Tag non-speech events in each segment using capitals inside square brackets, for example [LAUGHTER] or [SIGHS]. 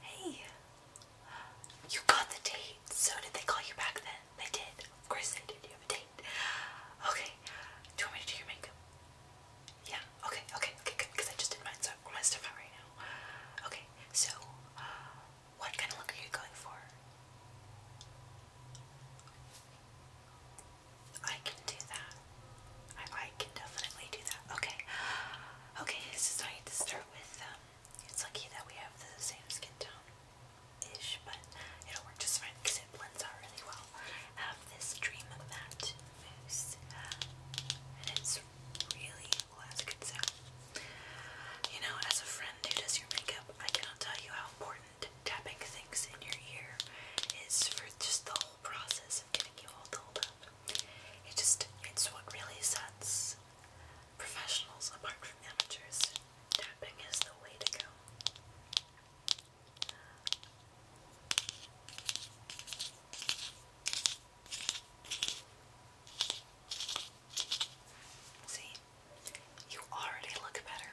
Hey, you got the date. So did they call you back then? They did. Of course they did. You have a date. Okay. Do you want me to do your makeup? Yeah. Okay. Okay. Okay. Good. Because I just did mine, so I'm my stuff out right now. Okay. So, uh, what kind of look are you going for? I can do that. I, I can definitely do that. Okay. Okay. This is how you to start with. Um, it's lucky that we have the same skin tone ish, but it'll work just fine because it blends out really well. have this Dream Matte Mousse, and it's really good sound. You know, as a friend who does your makeup, I cannot tell you how important tapping things in your ear is for just the whole process of getting you all dolled up. It just, it's what really sets Professionals, apart from amateurs, tapping is the way to go. See, you already look better.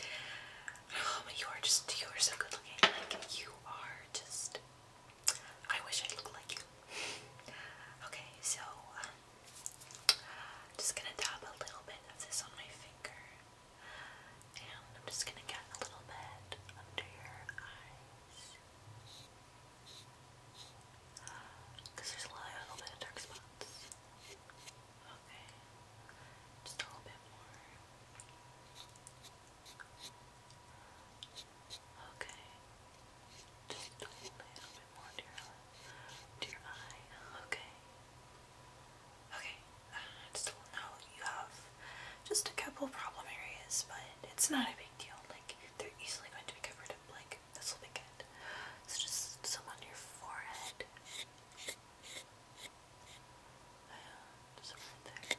Oh, [SIGHS] but you are just, you are so good looking. Like, you are just I wish I looked like you. okay, so I'm uh, just gonna dab a little bit of this on my finger, and I'm just gonna get a little bit under your eyes, cause there's a little bit of dark spots. Okay, just a little bit more. Okay. Just a little bit Okay. Okay. Uh, it's still You have just a couple problem areas, but it's not a big deal. Like they're easily going to be covered up. Like this will be good. So just some on your forehead. Uh, just right there.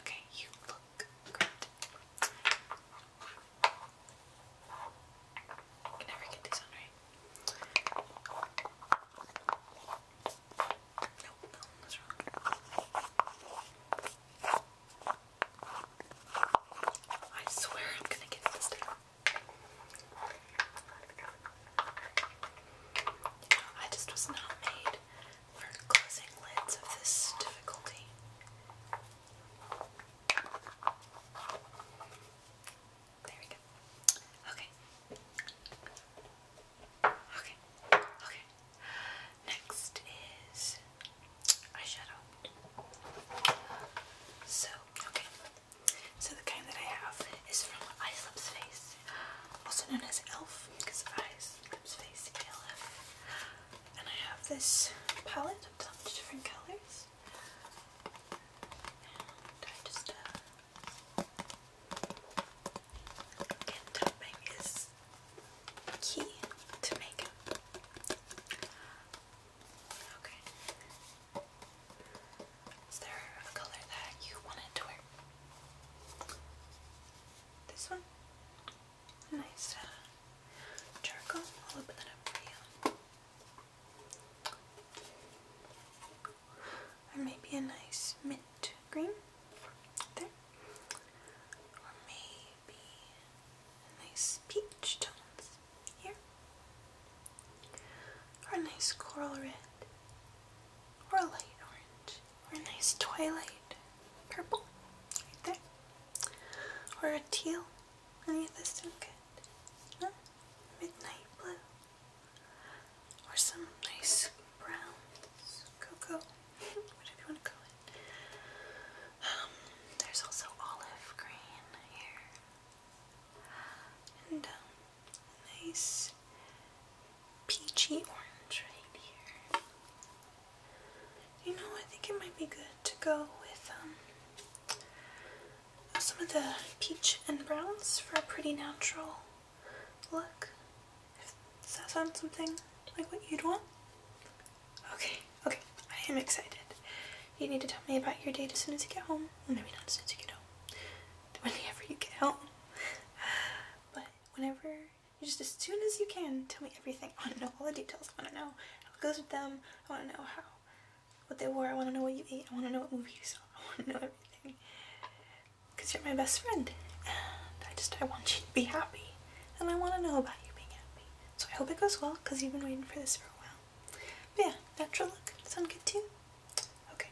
Okay, you look great. I can never get this right. Nope, no, that's wrong. I swear I'm gonna get this down. I just was not made for closing lids of this difficulty. There we go. Okay. Okay. Okay. Next is eyeshadow. So, okay. So the kind that I have is from Ice Lips Face, also known as ELF, because Ice Face ELF. And I have this palette of so different colors. And I just uh, again tapping is key to makeup. Okay. Is there a color that you wanted to wear? This one? Nice uh, charcoal. I'll open that up for you. Or maybe a nice mint green. There. Or maybe a nice peach tones here. Or a nice coral red. Or a light orange. Or a nice twilight purple right there. Or a teal. Any of this sound good? Midnight blue. Or some nice browns. Cocoa. [LAUGHS] Whatever you want to call it. Um, there's also olive green here. And um, nice peachy orange right here. You know, I think it might be good to go with um, some of the peach and browns for a pretty natural look. If, does that sound something like what you'd want? Okay, okay, I am excited. You need to tell me about your date as soon as you get home. maybe not as soon as you get home. Whenever you get home. [LAUGHS] but whenever you just as soon as you can tell me everything. I want to know all the details. I want to know how it goes with them. I want to know how what they wore. I want to know what you ate. I want to know what movie you saw. [LAUGHS] I want to know everything because you're my best friend, and I just I want you to be happy, and I want to know about you being happy. So I hope it goes well because you've been waiting for this for a while. But yeah, natural look sound good too. Okay.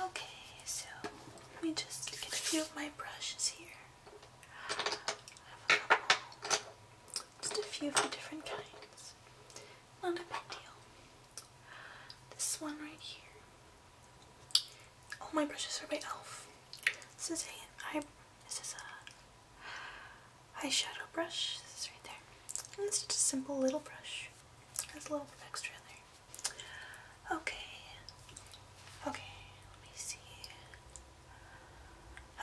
Okay, so let me just get a few of my brushes here. Just a few of the different kinds. Not a big deal. This one right here. All oh, my brushes are by e.l.f. This is an eye this is a eyeshadow brush. This is right there. And this just a simple little brush. Has a little bit extra there. Okay. Okay, let me see.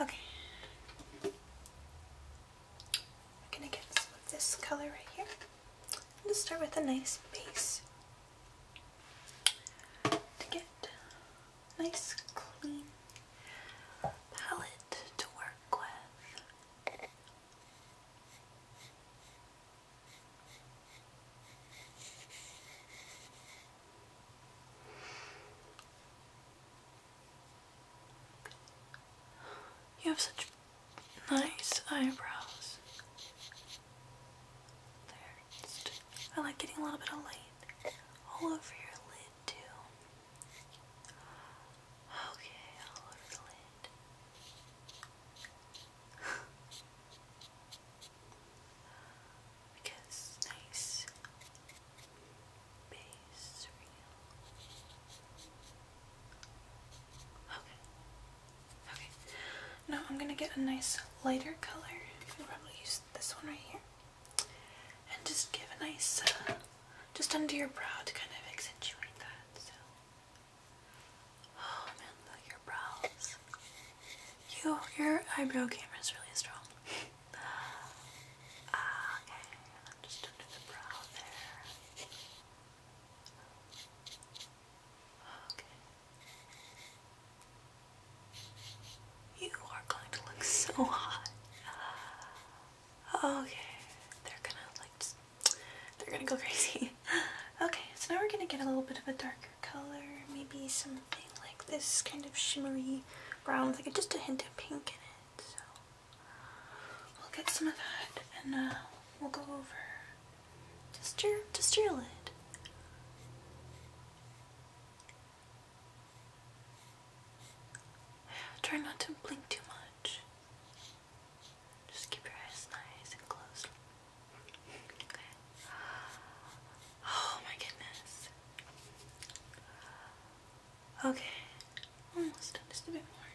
Okay. We're gonna get some of this color right here. I'm start with a nice base to get nice clean palette to work with. You have such nice eyebrows. I like getting a little bit of light all over your lid too. Okay, all over the lid because nice base reel. Okay. Okay. Now I'm gonna get a nice lighter color. You can probably use this one right here. And just give a nice, uh, just under your brow to kind of accentuate that. Oh man, look at your brows. You, your eyebrow camera is really strong. Ah, okay, just under the brow there. Okay. You are going to look [LAUGHS] so hot. Okay, they're gonna like they're gonna go [LAUGHS] crazy. okay, so now we're gonna get a little bit of a darker color, maybe something like this kind of shimmery brown with like just a hint of pink in it. So we'll get some of that and uh, we'll go over just your just your lid. Try not to blink too much. Just keep your eyes nice and closed. Okay. [GASPS] Oh my goodness. Okay. Almost done. Just a bit more.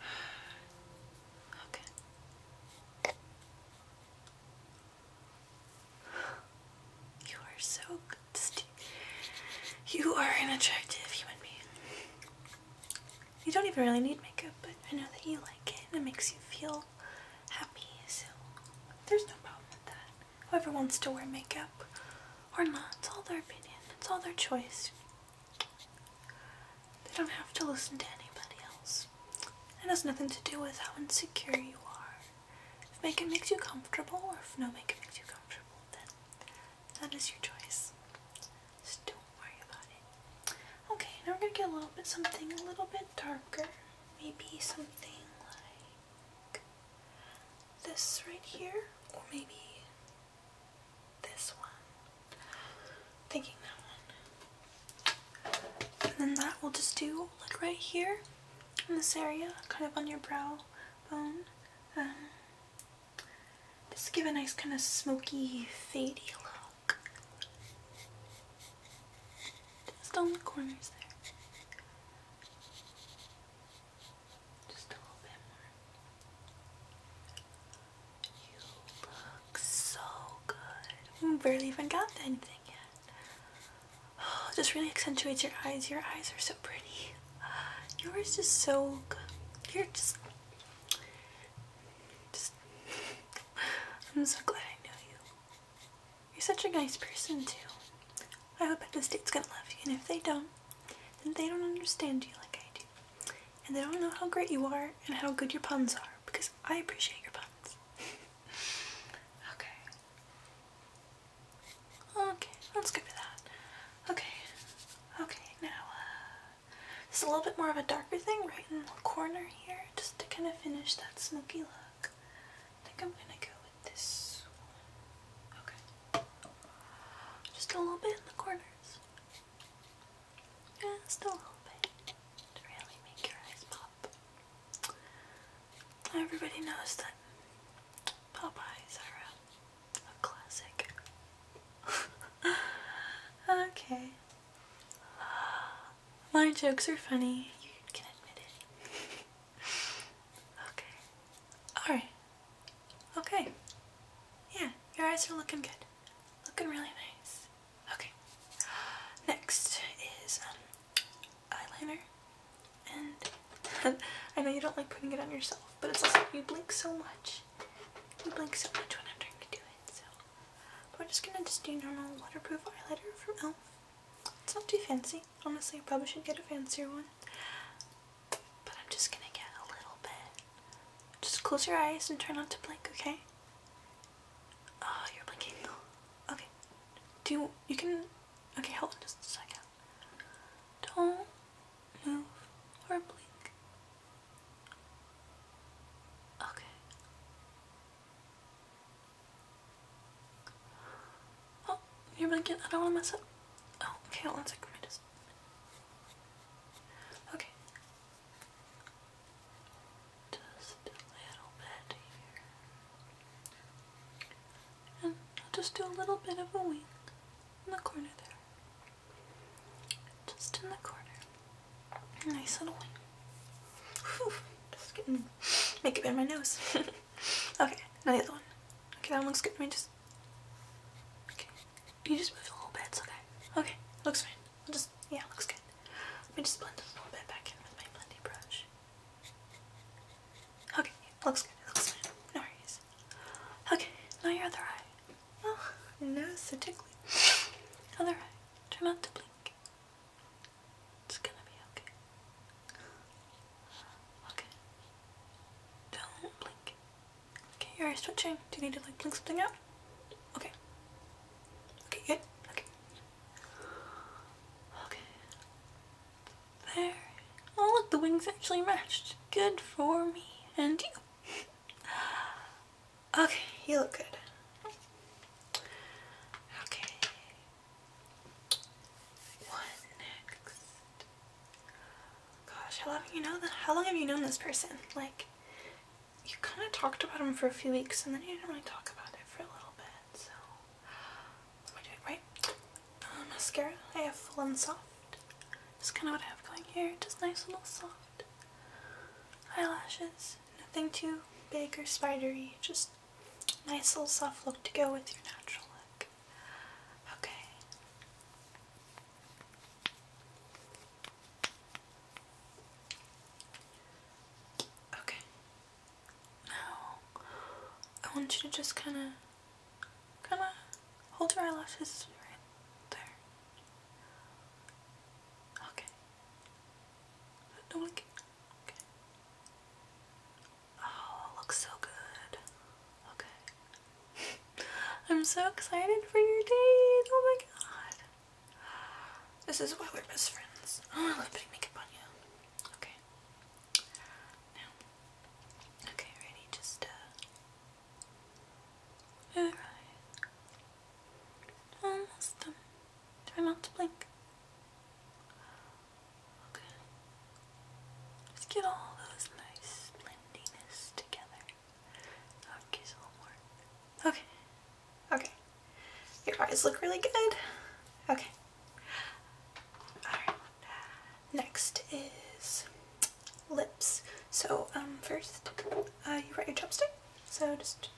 [SIGHS] Okay. You are so good. You are an attractive human being. You don't even really need makeup, but I know that you like it and it makes you feel happy, so there's no problem with that. Whoever wants to wear makeup or not, it's all their opinion, it's all their choice. They don't have to listen to anybody else. It has nothing to do with how insecure you are. If makeup makes you comfortable or if no makeup makes you comfortable, then that is your choice. So don't worry about it. Okay, now we're going to get a little bit something a little bit darker. Maybe something like this right here, or maybe this one. Thinking that one. And then that we'll just do like right here in this area, kind of on your brow bone. Um, just give a nice kind of smoky, fadey look. Just on the corners there. Just a little bit more. You look so good. Mm, barely even got anything yet. Oh, just really accentuates your eyes. Your eyes are so pretty. Yours is so good. You're just just I'm so glad I know you. You're such a nice person too. I hope that the state's gonna love you, and if they don't, then they don't understand you like I do. And they don't know how great you are and how good your puns are, because I appreciate your puns. [LAUGHS] okay. Okay, let's for that. Okay. Okay, now uh, just a little bit more of a darker thing right in the corner here, just to kind of finish that smoky look. I think I'm gonna go with this one. Okay. Just a little bit in the corners. Just a little bit. To really make your eyes pop. Everybody knows that Popeyes are a um, classic. [LAUGHS] okay. My jokes are funny. You can admit it. [LAUGHS] okay. Alright. Okay. Yeah, your eyes are looking good. Looking really nice. Okay. Next is um, eyeliner. And [LAUGHS] I know you don't like putting it on yourself, but it's also, you blink so much. I blink so much when I'm trying to do it, so we're just gonna just do normal waterproof eyeliner from e.l.f. It's not too fancy. Honestly, I probably should get a fancier one. But I'm just gonna get a little bit. Just close your eyes and try not to blink, okay? Oh, you're blinking. Okay. Do you can, okay, hold on just a second. Don't move or blink. Okay. Oh, you're I don't want to mess up. Oh, okay, hold just. Okay. Just a little bit here. And I'll just do a little bit of a wing in the corner there. Just in the corner. Nice little wing. Whew, just getting makeup in my nose. [LAUGHS] okay, now the other one. Okay, that one looks good. Let me just. Okay, you just move a little bit. It's okay. Okay, looks fine. I'll just yeah, looks good. Let me just blend it a little bit back in with my blending brush. Okay, looks good. It looks fine. No worries. Okay, now your other eye. Oh, your nose so tickly. Other eye. Try not to blink. It's gonna be okay. Okay. Don't blink. Okay, your eye's twitching. Do you need to like blink something out? Okay. Okay, good. Okay. Okay. There. Oh look, the wings actually matched. Good for me and you. Okay, you look good. Okay. What next? Gosh, how long have you known How long have you known this person? Like, you kind of talked about him for a few weeks, and then you didn't really talk about it for a little bit. So, am I doing right? Uh, mascara. I have full and soft. That's kind of what I have going here. Just nice and soft eyelashes. Nothing too big or spidery, just nice little soft look to go with your natural look. Okay. Okay. Now, I want you to just kind of, kind of hold your eyelashes right there. Okay. Don't look. Okay. Oh, looks so good. Okay. [LAUGHS] I'm so excited for your day. Oh my god. This is why we're best friends. Oh, I'm putting makeup on you. Okay. Now. Okay, ready? Just uh Alright. Almost done. Try not to blink. Okay. Just get all those nice blendiness together. Okay, so more. Okay. Okay. Your eyes look really good. Okay. Alright. Next is lips. So um, first, uh, you write your chopstick. So just,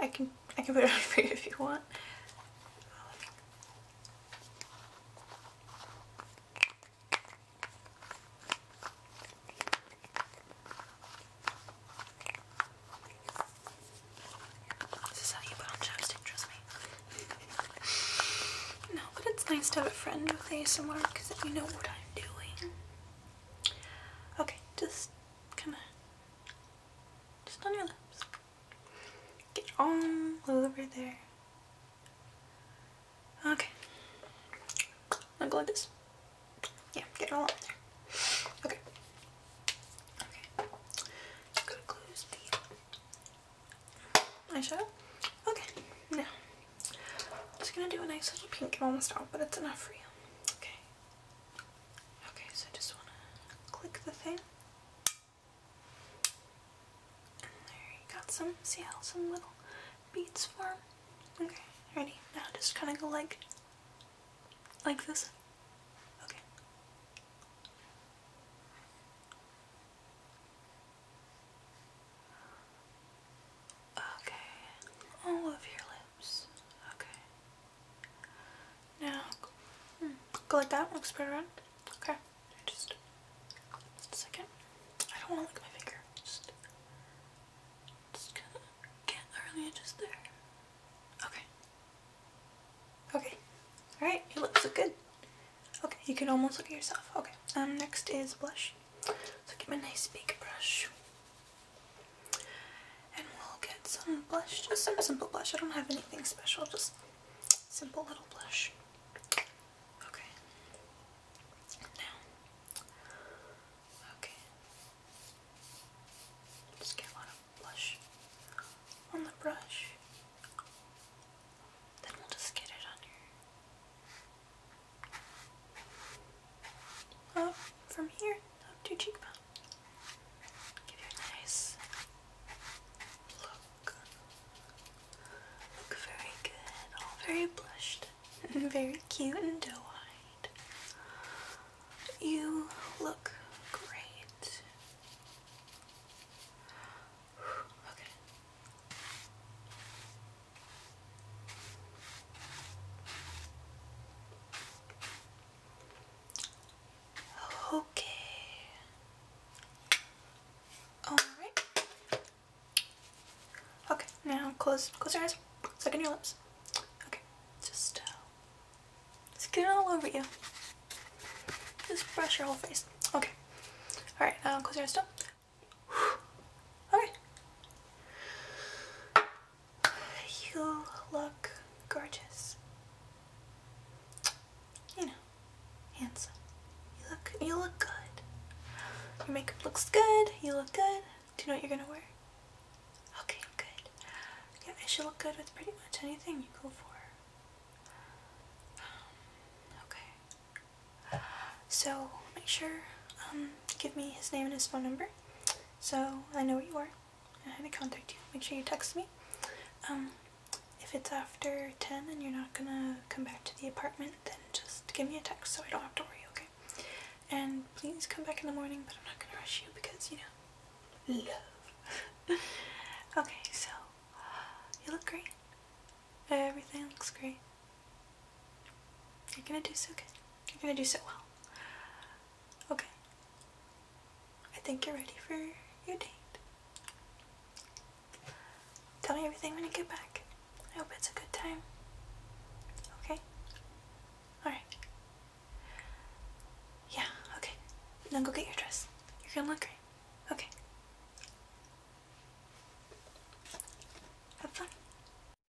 I can I can put it [LAUGHS] on for you if you want. This is how you put on chapstick, trust me. no, but it's nice to have a friend with ASMR because you know what I'm doing. Okay, just kind of, just on your lips. Get all over there. Okay. i am going to like this. Yeah, get it all on there. Okay. Okay. Gotta close the eyeshadow. Okay, now I'm just gonna do a nice little pink. i almost out, but it's enough for you. Okay. Okay, so I just wanna click the thing. there you got some, see how some little beads form? Okay, ready? Now just kinda go like, like this. Okay. Okay, all over your lips. Okay. Now, hmm, go like that. Look spread around. Okay. Just, a second. I don't want to look at my finger. Just, just gonna get early edges there. Okay. Okay. All right. Your lips look good. Okay, you can almost look at yourself. Okay. Um, next is blush. So get my nice big brush. And we'll get some blush, just some simple blush. I don't have anything special, just simple little blush. Okay. Now, okay. Just get a lot of blush on the brush. Then we'll just get it on your up from here up to your cheekbone. Give you a nice look. Look very good, all very blushed, and very cute and doe-eyed. You look great. Okay. Okay. All right. Okay. Now close close your eyes. Second your lips. Okay. Just just uh, get it all over you. Just brush your whole face. Okay. All right. Now uh, close your eyes. Still. [SIGHS] Okay. You look gorgeous. You know, handsome. You look you look good. Your makeup looks good. You look good. Do you know what you're gonna wear? Okay, good. Yeah, it should look good with pretty much anything you go for. Um, okay. So make sure um give me his name and his phone number so I know where you are and how to contact you. Make sure you text me. Um, if it's after 10 and you're not gonna come back to the apartment, then just give me a text so I don't have to worry, okay? And please come back in the morning, but I'm not gonna rush you because, you know, love. [LAUGHS] okay, so you look great. Everything looks great. You're gonna do so good. You're gonna do so well. Okay. I think you're ready for your date. Tell me everything when you get back. I hope it's a good time. Okay? Alright. Yeah, okay. Then go get your dress. You're gonna look great. Okay. Have fun.